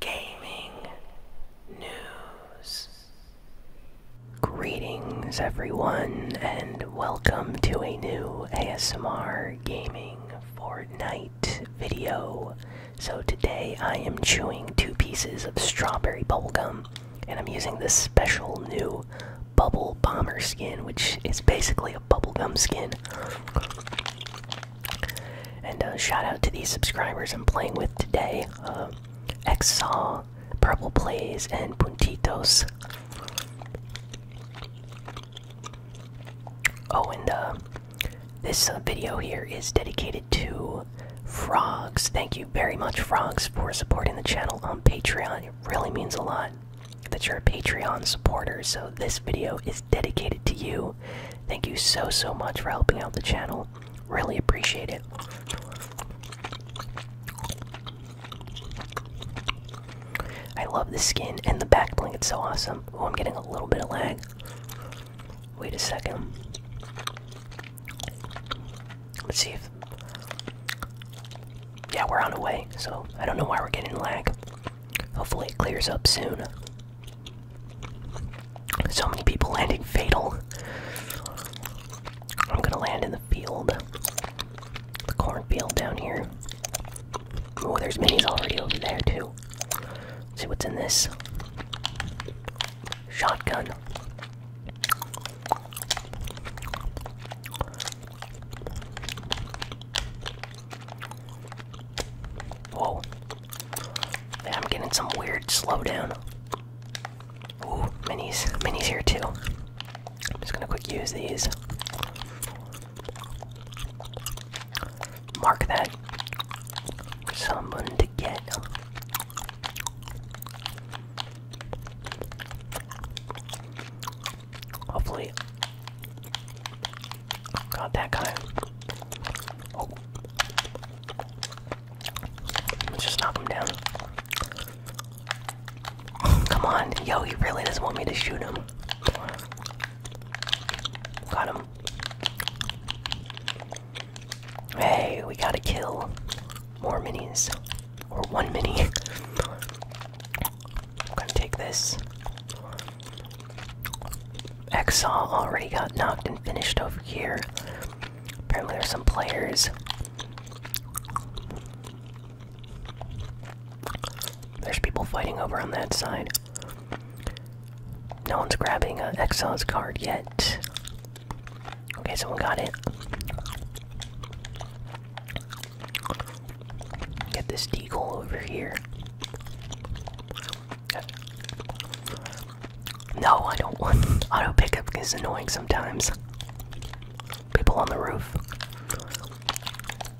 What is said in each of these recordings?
gaming news. Greetings, everyone, and welcome to a new ASMR Gaming Fortnite video. So, today I am chewing two pieces of strawberry bubble gum, and I'm using this special new Bubble Bomber skin, which is basically a bubblegum skin. And uh, shout out to these subscribers I'm playing with today: uh, um, Xsaw, Purple Plays, and Puntitos. Oh, and uh, this uh, video here is dedicated to Frogs. Thank you very much, Frogs, for supporting the channel on Patreon. It really means a lot that you're a Patreon supporter. So, this video is dedicated to you. Thank you so, so much for helping out the channel. Really appreciate it. I love the skin and the back bling, it's so awesome. Oh, I'm getting a little bit of lag. Wait a second. Let's see if. Yeah, we're on the way, so I don't know why we're getting lag. Hopefully, it clears up soon. So many people landing fatal. I'm gonna land in the field. The cornfield down here. Oh, there's minis already over there, too. see what's in this shotgun. Whoa, I'm getting some weird slowdown. minis. Minis here too. I'm just gonna quick use these. Mark that someone to get. Hopefully, Got that guy. Oh. Let's just knock him down. Come on. Yo, he really doesn't want me to shoot him. Got him. Hey, we gotta kill more minis. Or one mini. I'm gonna take this. Exile already got knocked and finished over here. Apparently, there's some players. There's people fighting over on that side. No one's grabbing uh, card yet. Okay, someone got it. Get this deagle over here. No, I don't want auto pickup is annoying sometimes. People on the roof.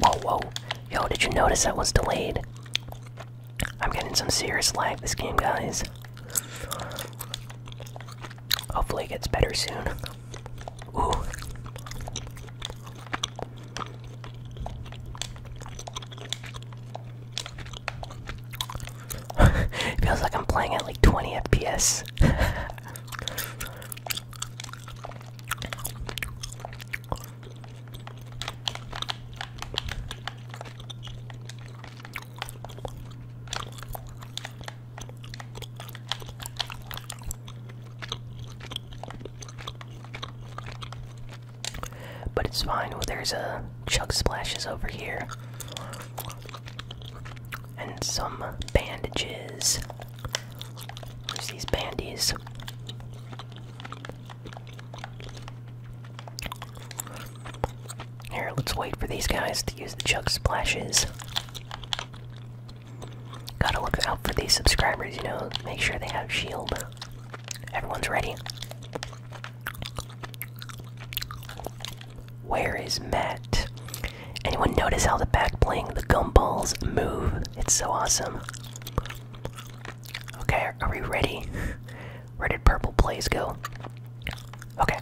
Whoa, whoa. Yo, did you notice that was delayed? I'm getting some serious lag this game, guys. Hopefully it gets better soon. Ooh. feels like I'm playing at like 20 FPS. But it's fine. Well, there's a Chuck splashes over here. And some bandages. Where's these bandies? Here, let's wait for these guys to use the Chuck splashes. Gotta look out for these subscribers, you know, make sure they have shield. Everyone's ready. Where is Matt? Anyone notice how the back bling, the gumballs move? It's so awesome. Okay, are we ready? Where did purple plays go? Okay.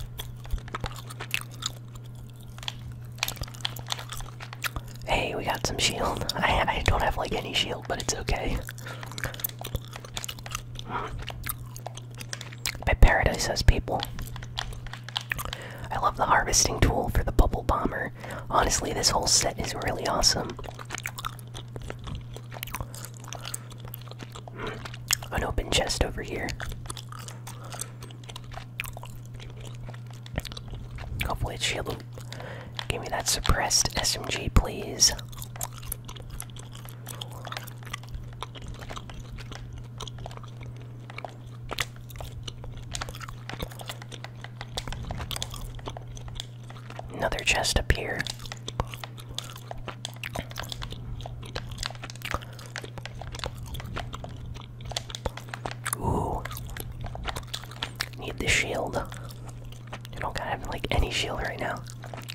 Hey, we got some shield. I don't have like any shield, but it's okay. But Paradise has people. I love the harvesting tool for the bubble bomber. Honestly, this whole set is really awesome. An open chest over here. Hopefully, it's shield Give me that suppressed SMG, please. Another chest up Ooh. Need the shield. You don't have like any shield right now.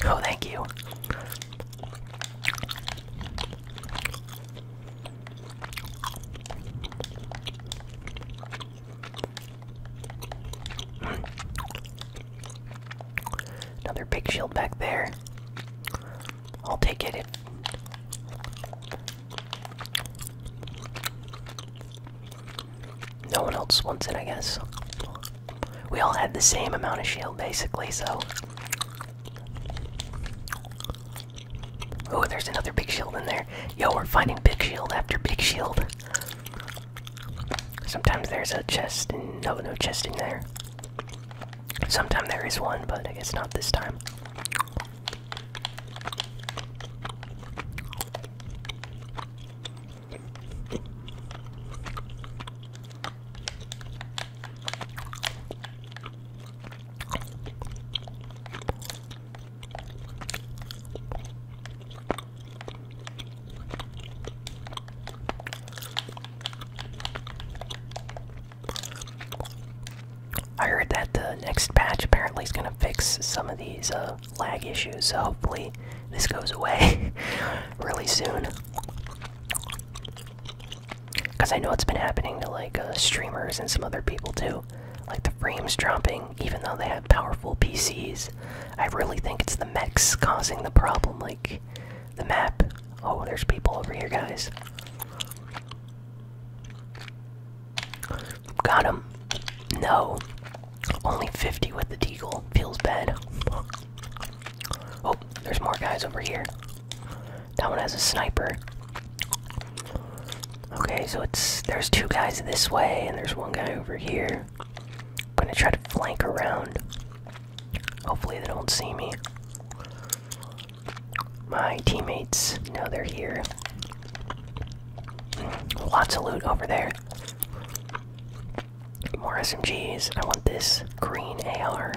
Oh, thank you. Another big shield back there. I'll take it. No one else wants it, I guess. We all had the same amount of shield, basically, so. Oh, there's another big shield in there. Yo, we're finding big shield after big shield. Sometimes there's a chest and no, no chest in there. Sometimes there is one, but I guess not this time. I heard that the next patch apparently is going to fix some of these uh, lag issues, so hopefully this goes away really soon. Because I know it's been happening to like uh, streamers and some other people too. Like the frames dropping, even though they have powerful PCs. I really think it's the mechs causing the problem, like the map. Oh, there's people over here, guys. Got him. No. Only 50 with the deagle. Feels bad. Oh, there's more guys over here. That one has a sniper. Okay, so it's there's two guys this way and there's one guy over here. I'm gonna try to flank around. Hopefully they don't see me. My teammates, no, they're here. Lots of loot over there. More SMGs. I want this green AR.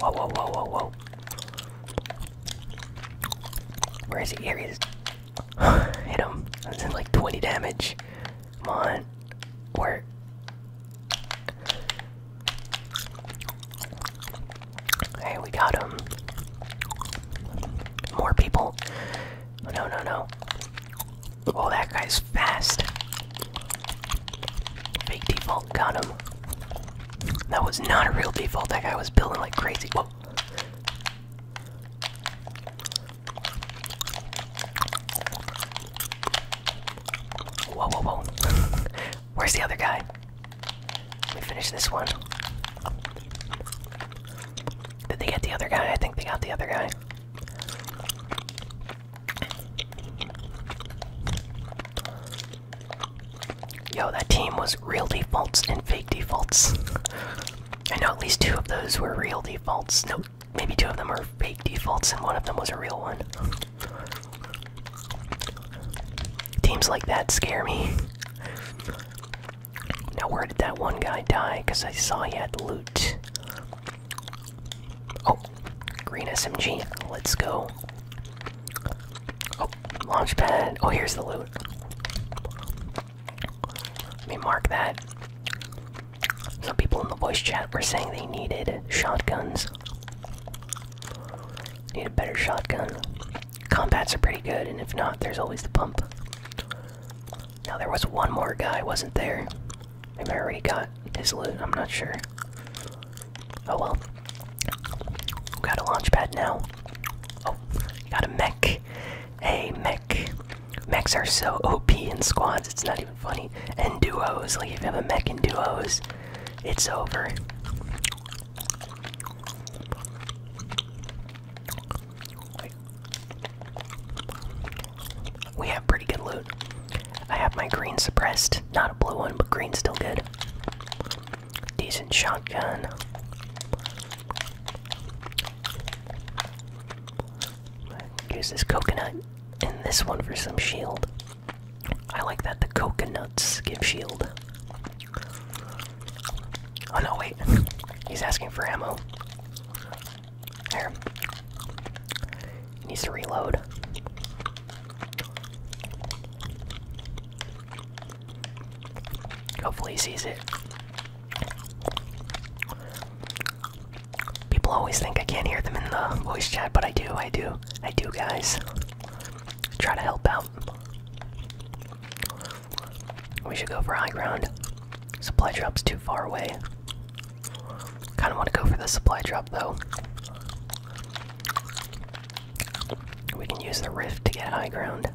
Whoa, whoa, whoa, whoa, whoa. Where is he? Here he is. Hit him. That's in like 20 damage. Come on. Where? Hey, we got him. More people. Oh, no, no, no. Oh, that guy's fast. Fake default. Got him. That was not a real default. That guy was building like crazy. Whoa. Whoa, whoa, Where's the other guy? Let finish this one. Did they get the other guy? I think they got the other guy. Yo, that team was real defaults and fake defaults. I know at least two of those were real defaults. No, maybe two of them are fake defaults and one of them was a real one. Teams like that scare me. Now, where did that one guy die? Because I saw he had loot. Oh, green SMG. Let's go. Oh, launch pad. Oh, here's the loot. Let me mark that. Some people in the voice chat were saying they needed shotguns. Need a better shotgun. Combats are pretty good, and if not, there's always the pump. Now, there was one more guy, wasn't there? Maybe I already got his loot, I'm not sure. Oh well. got a launch pad now. Oh, got a mech. Hey, mech. Mechs are so OP in squads, it's not even funny. And duos, like if you have a mech in duos, it's over. We have pretty good loot. I have my green suppressed. Not a blue one, but green's still good. Decent shotgun. Use this coconut and this one for some shield. I like that the coconuts give shield. Oh no, wait. He's asking for ammo. There. needs to reload. Hopefully he sees it. People always think I can't hear them in the voice chat, but I do, I do, I do, guys. Try to help out. We should go for high ground. Supply drop's too far away. Kinda wanna go for the supply drop though. We can use the rift to get high ground.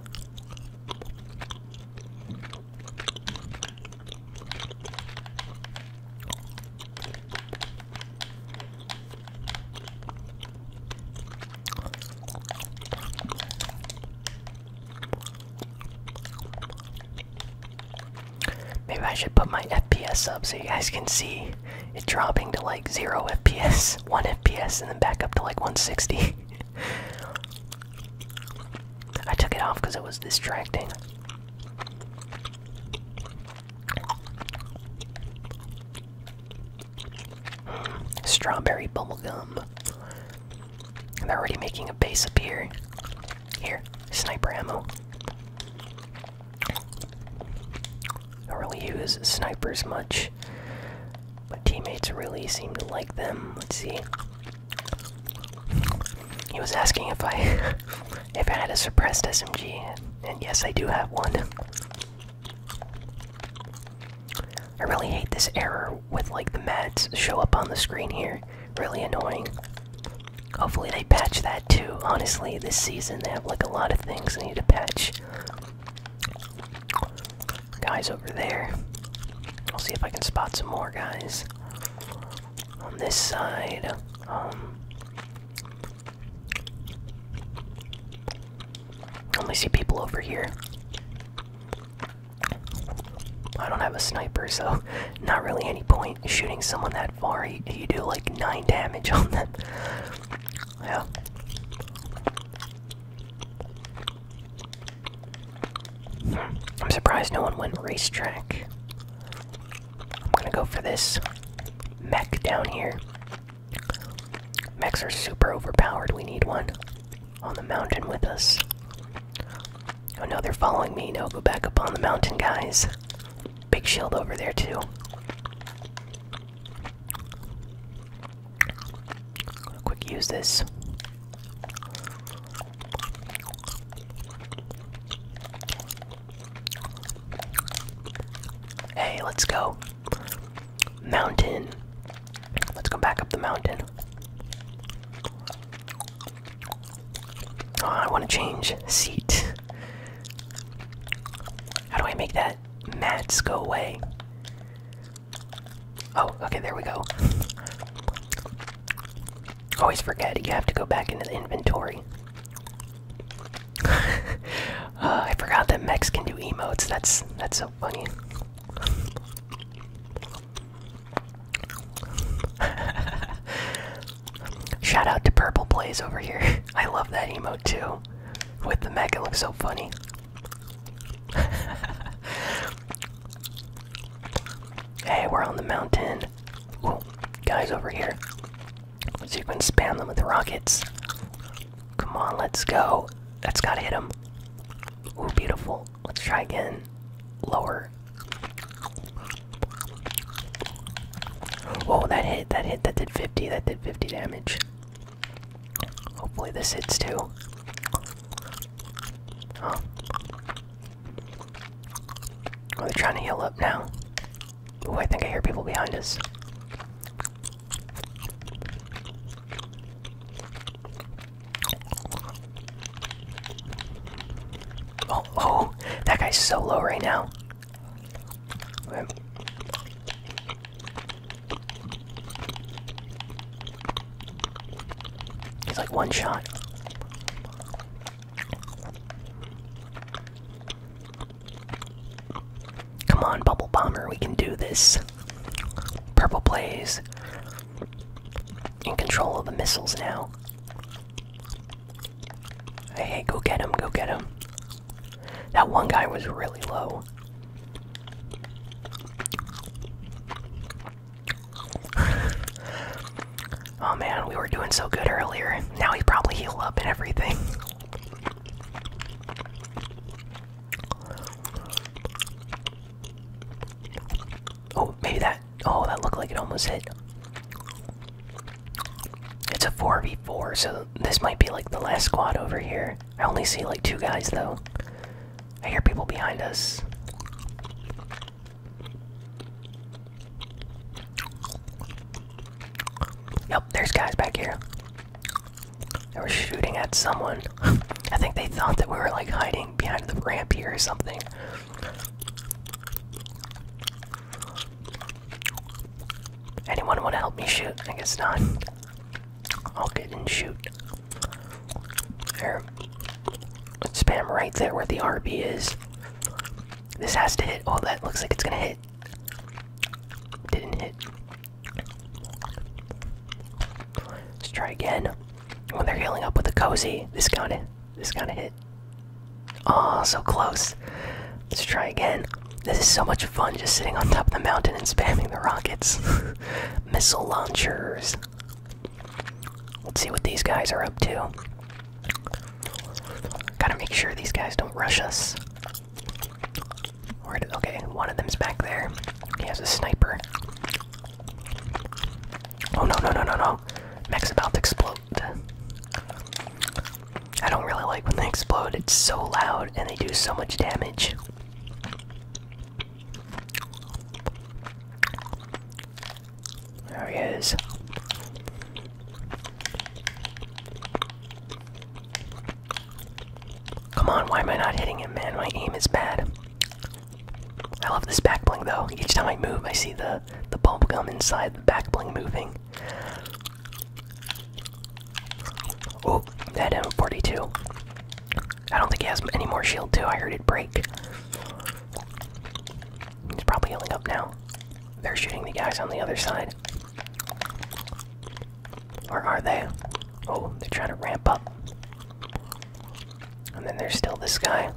Maybe I should put my FPS up so you guys can see it dropping to like 0 FPS, 1 FPS, and then back up to like 160. I took it off because it was distracting. Strawberry strawberry gum. They're already making a base up Here, sniper ammo. Don't really use snipers much. but teammates really seem to like them. Let's see. He was asking if I if I had a suppressed SMG, and yes, I do have one. I really hate this error with like the mats show up on the screen here. Really annoying. Hopefully they might patch that too. Honestly, this season they have like a lot of things they need to patch. Guys over there. I'll see if I can spot some more guys. On this side. Um, I only see people over here. I don't have a sniper, so not really any point shooting someone that far. you do like 9 damage on them. Yeah. I'm surprised no one went racetrack. I'm gonna go for this mech down here. Mechs are super overpowered. We need one on the mountain with us. Oh no, they're following me. No, go back up on the mountain, guys. Big shield over there, too. Quick use this. Hey, let's go. Mountain. Let's go back up the mountain. Oh, I want to change seat. How do I make that mats go away? Oh, okay, there we go. Always forget you have to go back into the inventory. uh, I forgot that mechs can do emotes. That's that's so funny. Shout out to Purple Blaze over here. I love that emo too. With the mech, it looks so funny. hey, we're on the mountain. guys over here. So you can spam them with rockets. Come on, let's go. That's gotta hit them. Ooh, beautiful. Let's try again. Lower. Oh, that hit, that hit, that did 50, that did 50 damage. Hopefully this hits too. Huh. Oh, they trying to heal up now. Oh, I think I hear people behind us. Oh, oh, that guy's so low right now he's like one shot. Come on, Bubble Bomber, we can do this. Purple Blaze in control of the missiles now. Hey, go get him, go get him. That one guy was really low. oh man, we were doing so good earlier. Now he probably healed up and everything. Oh, maybe that. Oh, that looked like it almost hit. It's a 4v4, so this might be like the last squad over here. I only see like two guys though. I hear people behind us. Nope, there's guys back here. They were shooting at someone. I think they thought that we were like hiding behind the ramp here or something. Anyone want to help me shoot? I guess not. I'll get and shoot. There. spam right there where the RB is. This has to hit. Oh, that looks like it's gonna hit. Didn't hit. Let's try again. When oh, they're healing up with a cozy, this got this gotta hit. Oh, so close. Let's try again. This is so much fun just sitting on top of the mountain and spamming the rockets. Missile launchers. Let's see what these guys are up to. Gotta make sure these guys don't rush us. okay, one of them's back there. He has a sniper. Oh no, no, no, no, no. Mech's about to explode. I don't really like when they explode, it's so loud and they do so much damage. There he is. Come on, why am I not hitting him, man? My aim is bad. I love this back bling though. Each time I move, I see the the bubble gum inside the back bling moving. Oh, that M42. I don't think he has any more shield, too. I heard it break. He's probably healing up now. They're shooting the guys on the other side. Or are they? Oh, they're trying to ramp up. And then there's still this guy.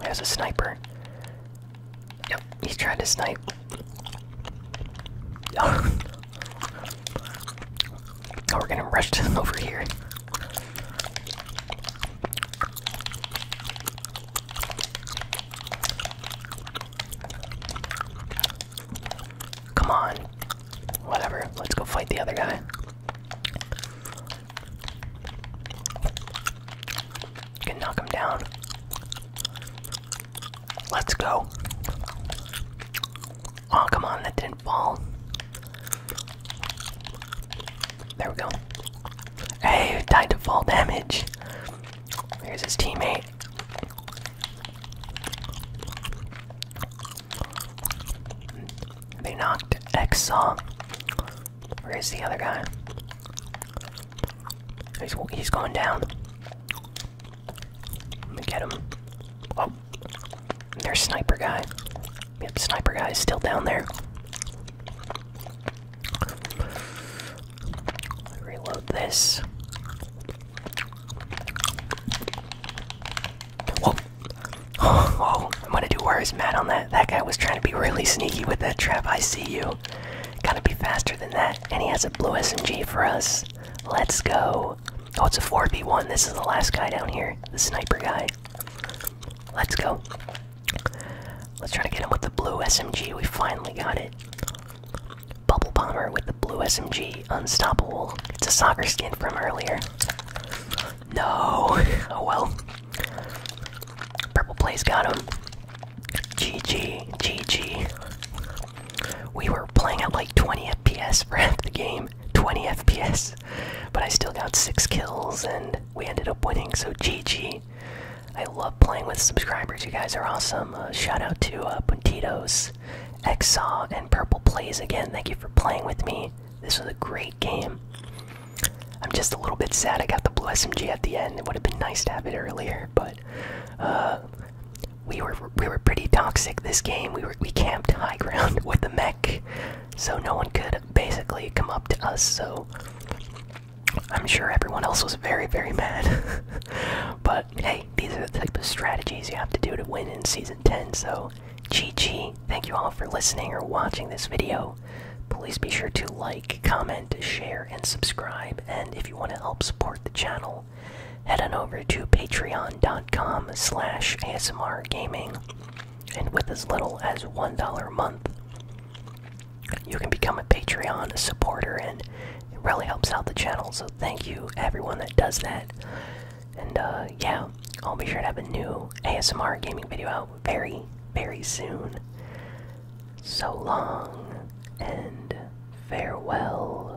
There's a sniper. Yep, he's trying to snipe. oh, we're gonna rush over here. Come on. Whatever, let's go fight the other guy. Can knock him down. Let's go. Oh, come on, that didn't fall. There we go. Hey, died to fall damage. Here's his teammate. They knocked X Exxon. Where's the other guy? He's, he's going down. Let me get him. Oh, there's sniper guy. Yep, sniper guy's still down there. Reload this. Oh, I'm gonna do worse, Matt, on that. That guy was trying to be really sneaky with that trap. I see you. Gotta be faster than that. And he has a blue SMG for us. Let's go. Oh, it's a 4 b one This is the last guy down here. The sniper guy. Let's go. Let's try to get him with the blue SMG. We finally got it. Bubble Bomber with the blue SMG. Unstoppable. It's a soccer skin from earlier. No. Oh well. Purple plays got him. GG. GG. We were playing at like 20 FPS for half the game. 20 FPS. But I still got six kills and we ended up winning, so GG. I love playing with subscribers. You guys are awesome. Uh, shout out to uh, Puntitos, Exaw, and Purple Plays again. Thank you for playing with me. This was a great game. I'm just a little bit sad I got the blue SMG at the end. It would have been nice to have it earlier, but uh, we were we were pretty toxic this game. We were we camped high ground with the mech, so no one could basically come up to us. So I'm sure everyone else was very very mad. but hey, these are the type of strategies you have to do to win in season 10. So so, GG. Thank you all for listening or watching this video. Please be sure to like, comment, share, and subscribe. And if you want to help support the channel, head on over to patreon.com slash asmrgaming. And with as little as $1 a month, you can become a Patreon supporter, and it really helps out the channel. So, thank you, everyone that does that. And uh, yeah, I'll be sure to have a new ASMR gaming video out very, very soon. So long and farewell.